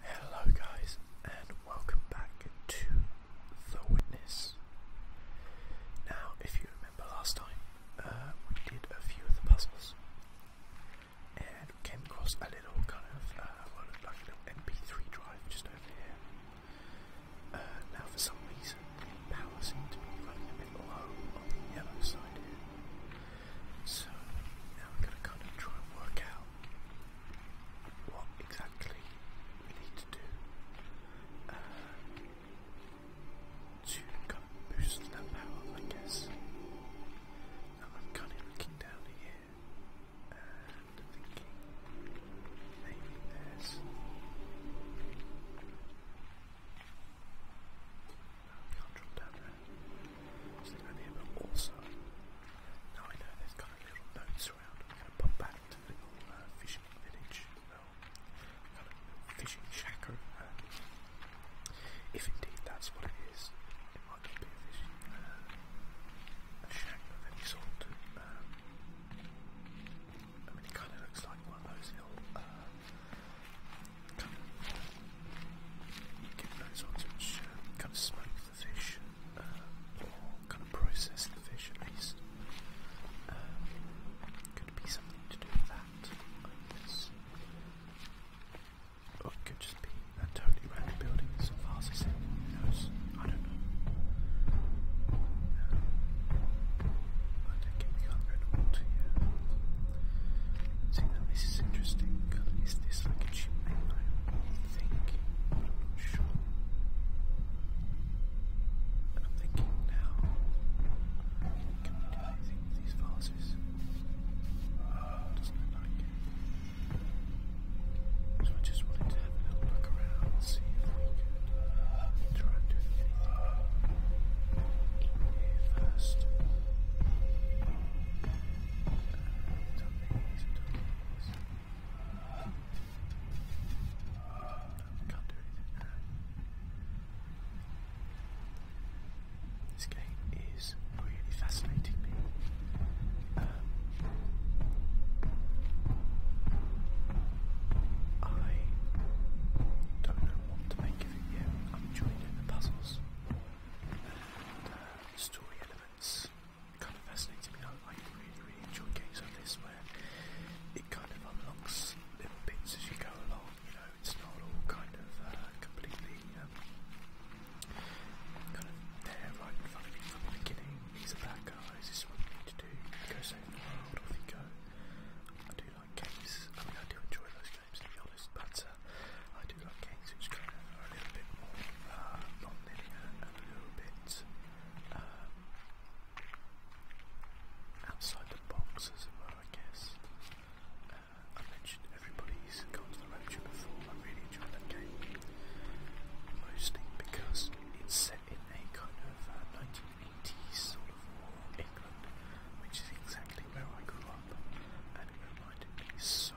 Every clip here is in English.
Hello guys and welcome back to The Witness. Now if you remember last time uh, we did a few of the puzzles and came across a little kind of uh, what looked like a mp3 drive just over here. Uh, now for some reason power seemed to be running a bit low on the yellow side here. So now we're going to kind of try and work out what exactly we need to do uh, to kind of boost that power, I guess. Now I'm kind of looking down here and thinking maybe there's we can't drop down there. also, now I know there's kind of little notes around, I'm going to pop back to the little fishing village, well, fishing shack If indeed that's what it is, might be a fishing shack of any sort. I mean, it kind of looks like one of those little uh, kind of smoke the fish, uh, or kind of process the fish at least. could be something to do with that, Or it could just be a totally random building so fast as who knows? I don't know. I don't think we can't go to Seeing that this is interesting, is this like a chimney? I'm sure. I'm thinking now, can we do anything with these vases? doesn't it. So I just wanted to have a little look around and see if we could try and do anything in here first. This game is really fascinating me. Um, I don't know what to make of it yet. I'm enjoying the puzzles. Uh, story elements. It kind of fascinated me. I, I really, really enjoy games like this where it kind of unlocks little bits as you go along. You know, it's not all kind of uh, completely um, kind of there right in front of you from the beginning. These are bad guys. This is what you need to do. Go save the world. Off you go. I do like games. I mean, I do enjoy those games to be but uh, I do like games which kind of are a little bit more uh, non-linear and a little bit um, outside the box as it were, I guess. Uh, I mentioned everybody's gone to the road trip before, I really enjoyed the game. Mostly because it's set in a kind of 1980s uh, sort of England, which is exactly where I grew up, and it reminded me so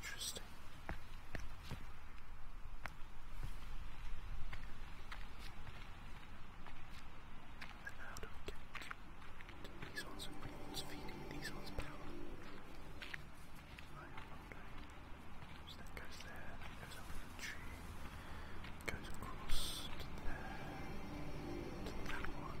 Interesting. these ones? Who's feeding these ones power? that goes there, goes up the tree, goes across to there, to that one.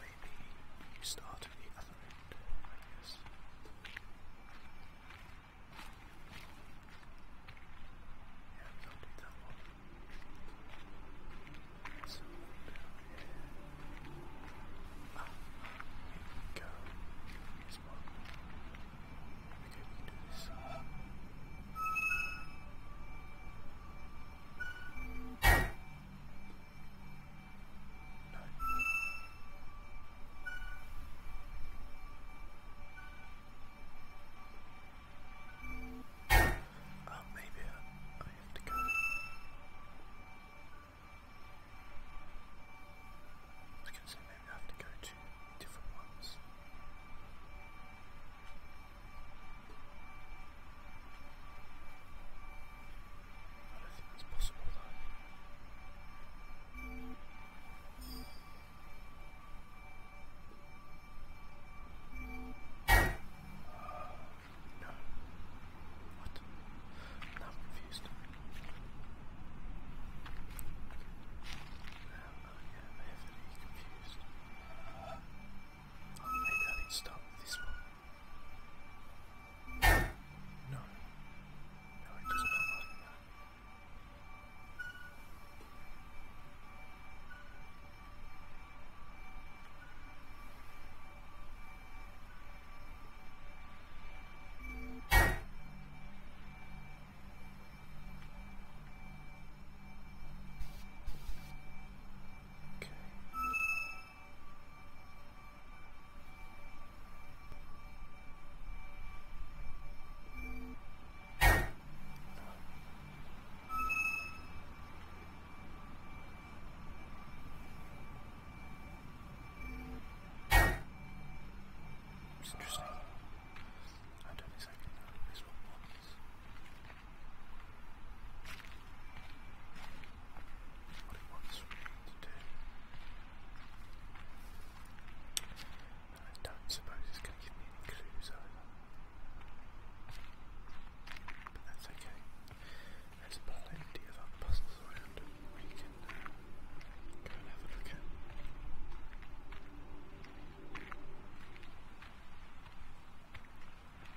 Maybe you start at the other end, I guess. Yeah, we don't need that one. So down here. Ah, here we go. Here's one. Okay, we can do this. No. Oh, maybe I have to go. I was going to say maybe I have to go to different ones. I don't think that's possible though. What? I'm confused. I am heavily confused. I need to start this one. No. No, it does not look like that. Okay. It's interesting. I don't exactly know what this one was what he wants me to do. I don't suppose it's going to give me any clues either. But that's okay. There's plenty of puzzles around we can go and have a look at.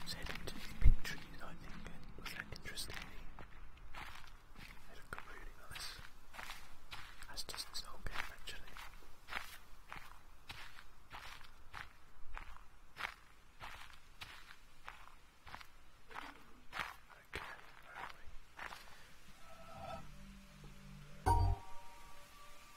Let's head into these pink trees, I think. Was that interesting? They look really nice. That's just this whole actually. Okay,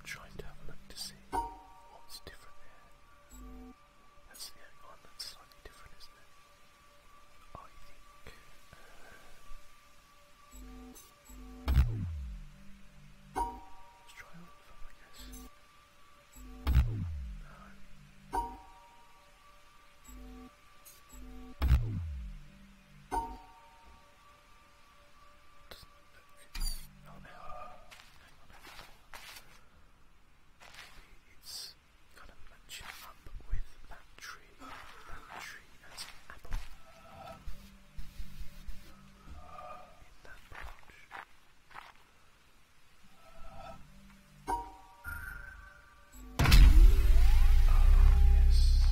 I'm trying to have a look to see what's different there. That's the only that's slightly different, isn't it? I think. Uh, let's try all of I guess it's to match up with that tree. That tree has an apple in that branch. Oh, yes.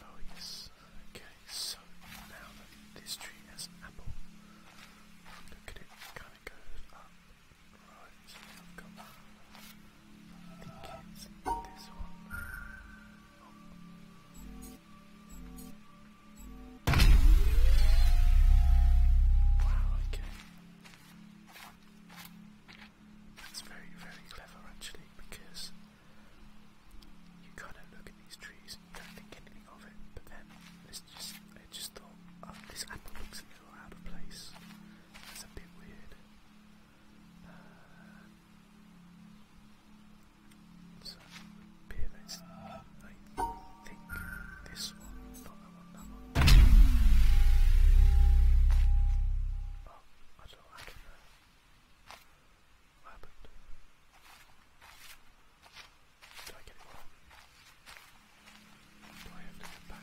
Oh, yes. Okay, so now that this tree has an apple, look at it, it kind of goes up. Right, so I've got that. I think it's this one. Oh. Wow, okay. That's very, very clever actually because you kind of look at these trees and you don't think anything of it, but then it's just, I just thought, oh, this apple looks a little out of place. That's a bit weird. Uh, so appear that's I think this one, not that one, that Oh, I don't know, What happened? Did I get wrong? Do I have to go back?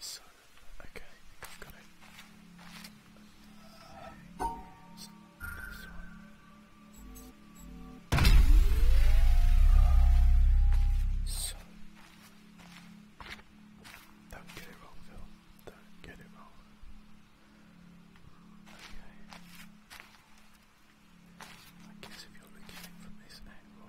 So, okay, got it. So, don't get it wrong, Phil. Don't get it wrong. Okay. I guess if you're looking for this angle,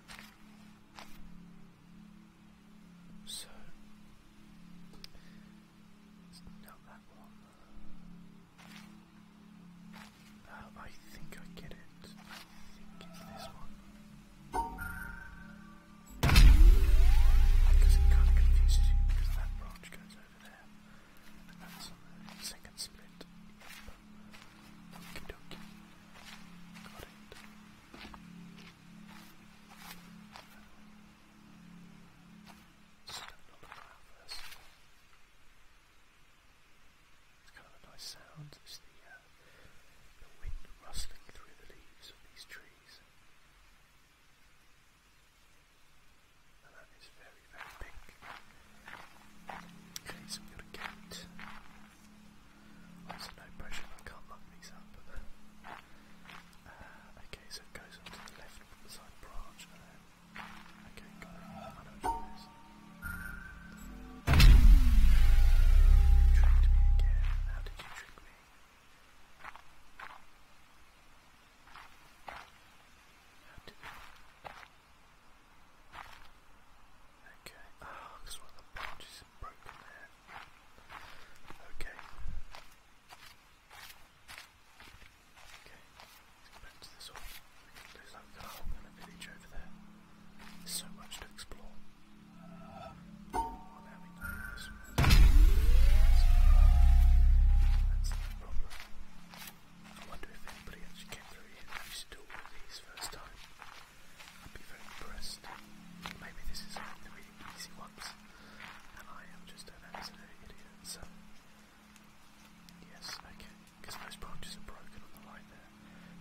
So not that one. Uh, I think I get it. I think it's this one. Because it kind of confuses you because that branch goes over there. And that's on second split. Okie It's kind of a nice sound. It's uh, the, wind rustling through the leaves of these trees. And that is very, very pink. Okay, so we've got a gate. Also no pressure, I can't lock these up. Uh, uh, okay, so it goes onto the left side branch and uh, then... Okay, got it. I tricked me again. How did you trick me? Okay, ah, oh, because one of the branches is broken Okay. Okay, let's go back to this one. We can lose that car village over there. so much to explore. Oh, now we know That's the problem. I wonder if anybody actually came through here and actually did all of these first time. I'd be very impressed. Maybe this is one of the really easy ones, and I am just an absolute idiot, so... Yes, okay, because most branches are broken on the line there.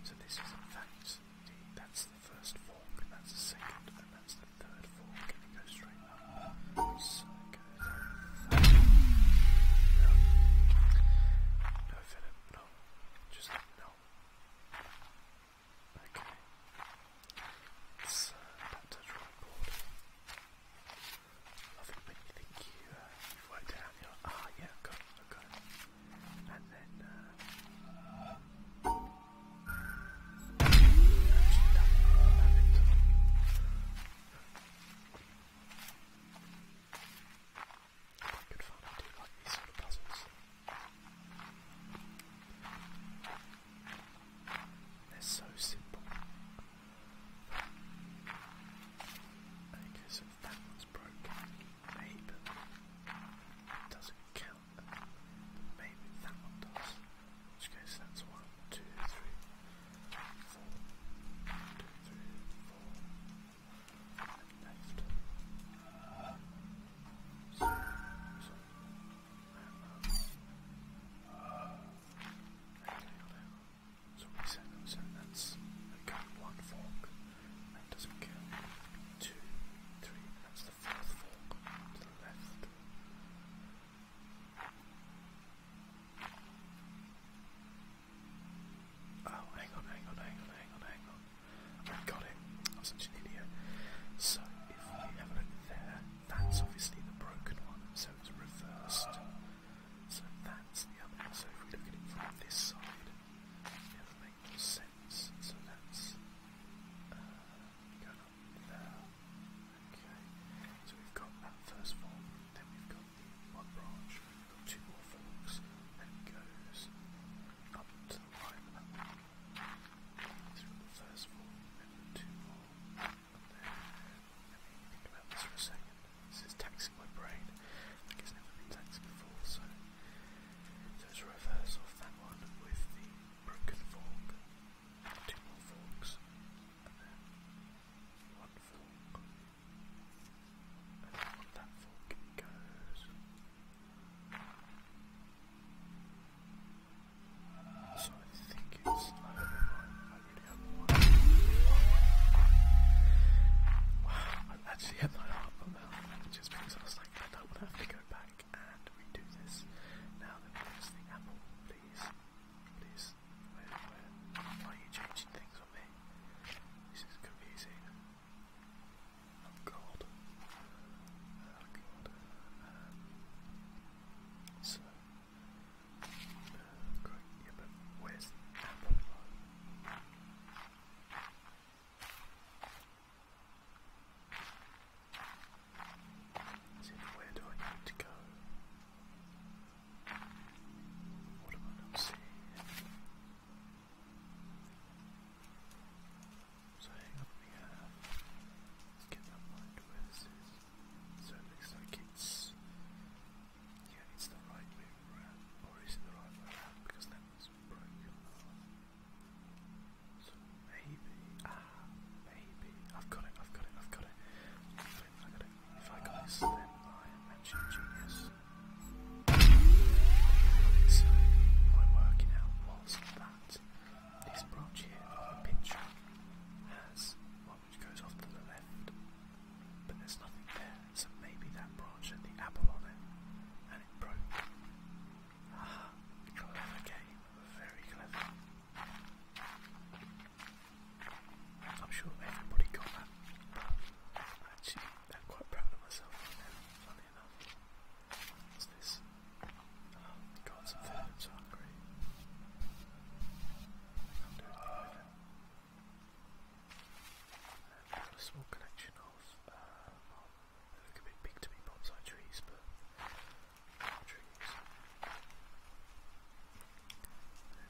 So this is in fact, the, that's the first fork, and that's the second, and that's the third fork, and it goes straight up. So it goes over the third. No. No, Philip, no. Just no. Okay. Let's uh, back to the you think you, uh, you've worked out, ah, yeah, got it, got it. And then, uh, I do like these sort of puzzles. They're so simple. Okay, so that one's broken. Maybe it doesn't count. Maybe that one does. In which that's one, two, three, four, two, three, four. Next. So, we send them, so that's like one fork, that doesn't kill. Two, three, that's the fourth fork to the left. Oh, hang on, hang on, hang on, hang on, hang on. I've got it. I'm such an idiot. So, if we have a look there, that's obviously the broken one, so it's reversed. So that's the other one. So if we look at it from this side, it would make more sense. So that's uh, going up there. Okay. So we've got that first form then we've got one branch, got two more forks, and goes up to the through the first fork, and two more think about this for a second. This is taxing my brain. Like never been taxed before, so so reverse off that one with the broken fork, two more forks, and then one fork. And So I think it's. Wow, i actually had my heart on that just I was like, I don't have to go back and redo this. Now that we use the apple, please. Please. Where, are you changing things on me? This is confusing. Oh god. Oh god. so, uh, great. Yeah, but where do I need to go? What am I not seeing? So hang on, we have. Let's get that line where this is. So it looks like it's. Yeah, it's the right way around. Or is it the right way around? Because that was broken So maybe. Ah, maybe. I've got it, I've got it, I've got it. I am actually a genius. So, my working out was that this branch here of has one which goes off to the left, but there's nothing there, so maybe that branch had the apple on it, and it broke. Ah, clever game, very clever. I'm sure everybody got that, but actually I'm quite proud of myself right funny enough. What's this? Um, some food, I'm I'm doing it. And I've got a small collection of, uh, they look a bit big to me, bonsai trees, but trees.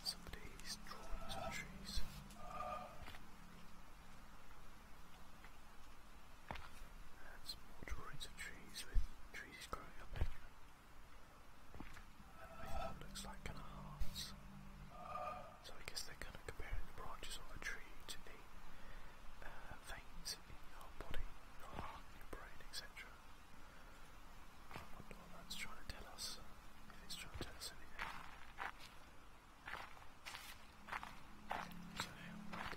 Somebody's drawing some trees. And some more drawings of trees with trees growing up And with what looks like kind of So I guess they're kind of comparing the branches of a tree to the uh, veins in your body, your heart, your brain, etc the one trying to tell us it's trying to tell us anything. So where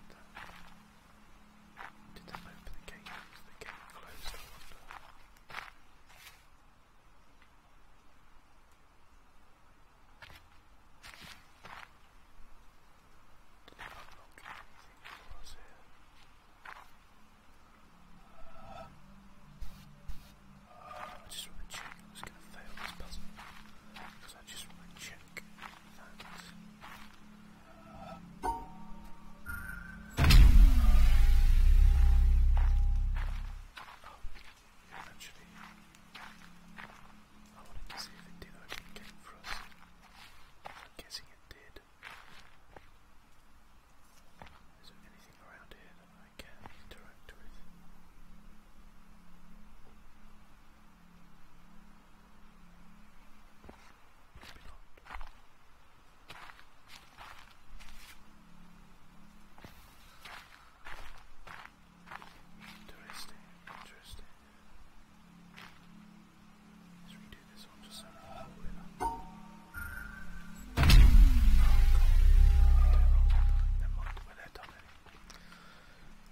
did that open the gate? the gate closed Did it unlock anything for us here? I just want to check I'm just going to fail this puzzle because I just want to check that. Oh, actually, I wanted to see if it did open the game for us. I'm guessing it did. Is there anything around here that I can interact with? Maybe not. Interesting, interesting. Let's redo this one just so we can Never You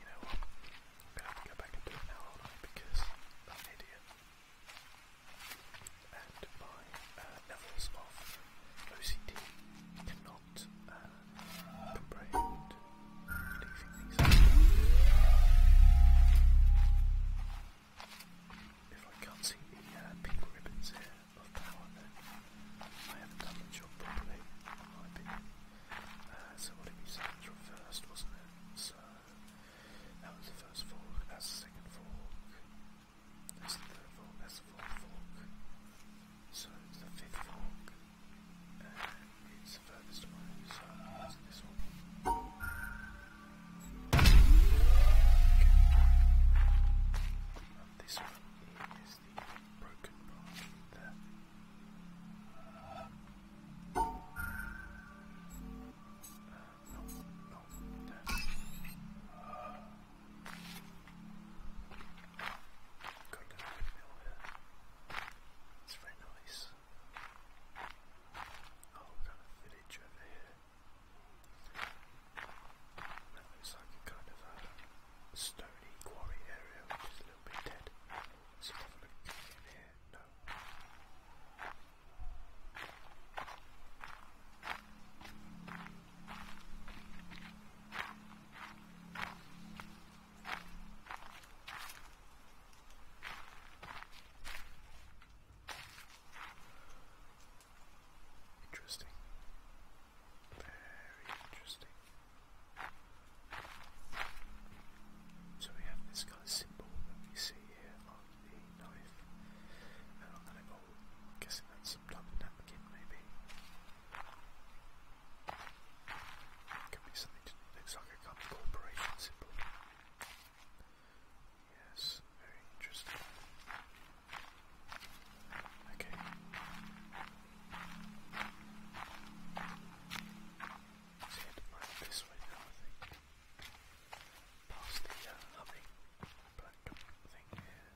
know what? I'm gonna go back and do it now, Because i idiot. And my levels of OCD cannot comprehend leaving things if I can't see the uh, pink ribbons here of power, then I haven't done the job properly, uh, so what did we say? It was wasn't it? So that was the first fork, that's the second fork, that's the third fork, that's the fourth fork. So it's the fifth fork, it's the furthest away, so it's this one. This one is the broken part there. It's very nice. Oh, we've got a village over here. That looks like a kind of a stony quarry area which is a little bit dead. Let's have here. No. Interesting. Very interesting. So we have this kind symbol that we see here on the knife. And on the label, guessing that's some type of napkin maybe. could be something looks like a kind corporation symbol. Yes, very interesting. Okay. Let's head right this way now, I think. Past the uh, humming black thing here.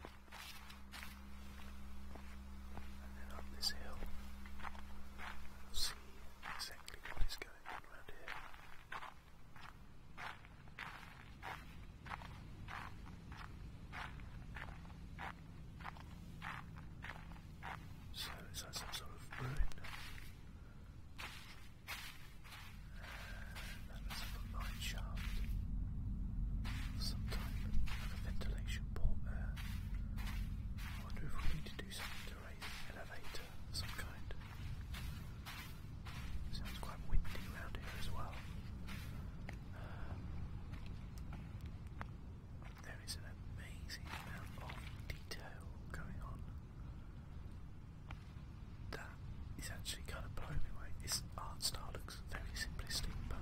And then up this hill. We'll see exactly what is going on around here. So is that some sort of ruin? And that's a mine shaft some type, like a ventilation port there. I wonder if we need to do something to raise an elevator some kind. Sounds quite windy around here as well. there is an amazing amount of detail going on. That is actually kind of blowing me away. This art style looks very simplistic, but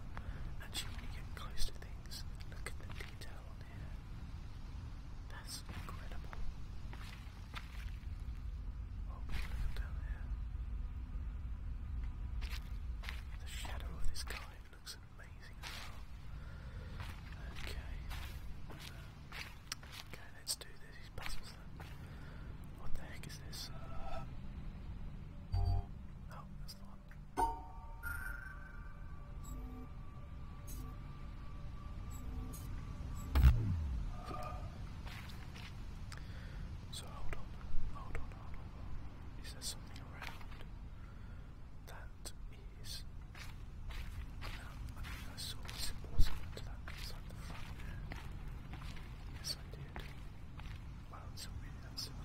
actually when you get close to things, look at the detail on here. That's incredible. Oh, down there. The shadow of this guy looks amazing as well. Okay. Okay, let's do this. These puzzles then. What the heck is this? Oh, that's the one. So hold on, hold on, hold on. Is there something around? That is. Um, I think I saw symbols similar to that inside the front Yes, I did. Well, it's not really that Okay.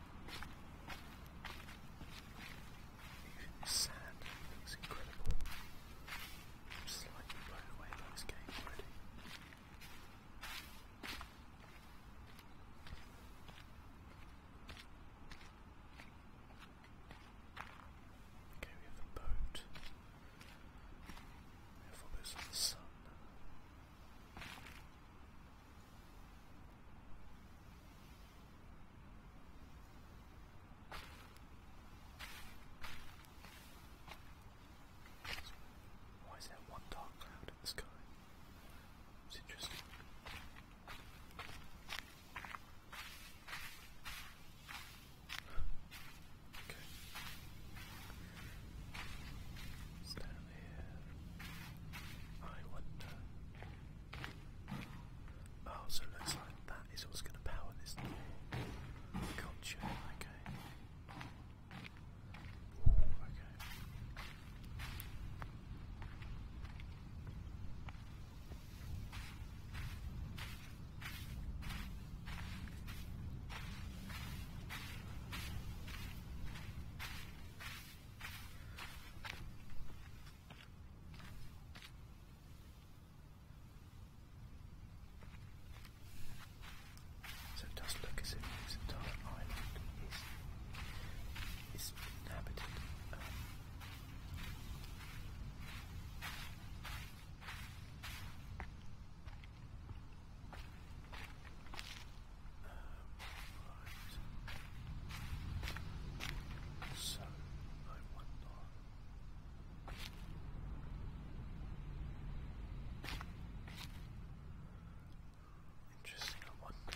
The sand looks incredible. I'm slightly blown away by this game already. Okay, we have the boat. We have all the sun. Why is there one dark cloud in the sky? It's interesting. okay. Stand here? I wonder. Oh, so looks like that is what's going to power this thing. Gotcha, okay. okay. So it does look as if this entire island is is inhabited right. So I wonder. Interesting, I wonder.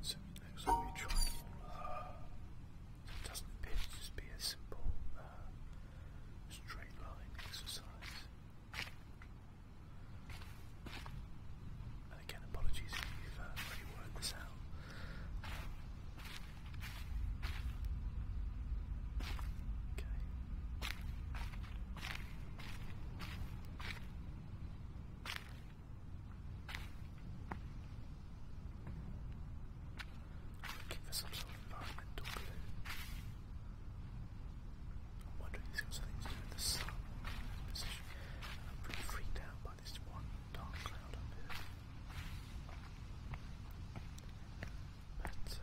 So it looks like we tried all doesn't appear to just be a simple uh, straight line exercise. And again, apologies if i have already worked this out. Okay. Give us some sort of environmental clue. I'm wondering if he something to do with the sun in this position. I'm pretty freaked out by this one dark cloud up here. But, uh,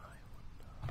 I wonder.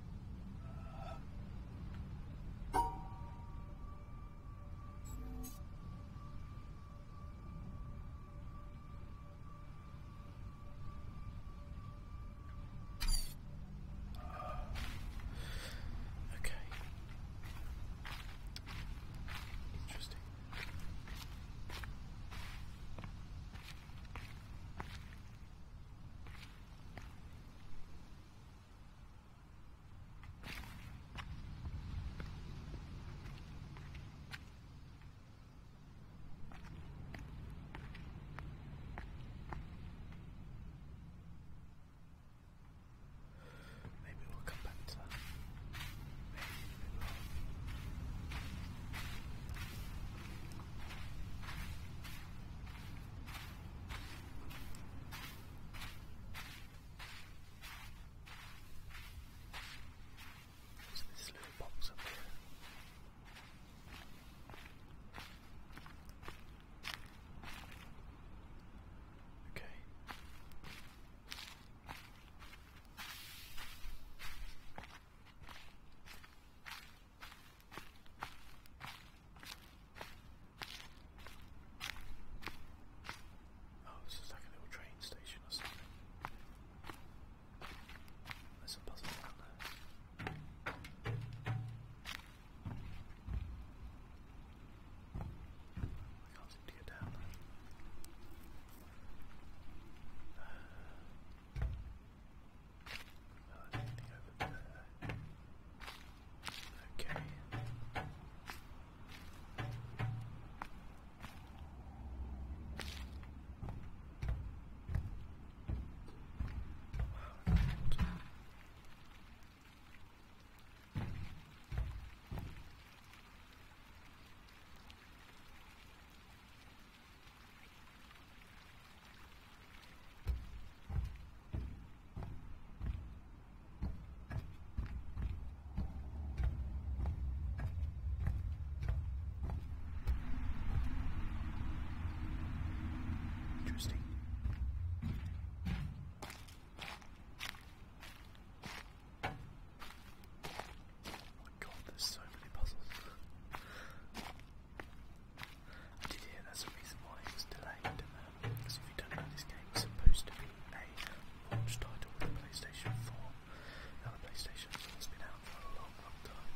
Okay. Interesting. Maybe we'll come back to that. Maybe we will. There's this little box up here. Okay. Oh, this is like a little train station or something. There's a puzzle down there. I can't seem to get down there. Uh, Oh, anything over there? Okay. Oh, Interesting. Oh my god, there's so many puzzles. I did hear that's the reason why it was delayed, um, because if you don't know, this game was supposed to be a launch title with the PlayStation 4. Now the PlayStation has been out for a long, long time.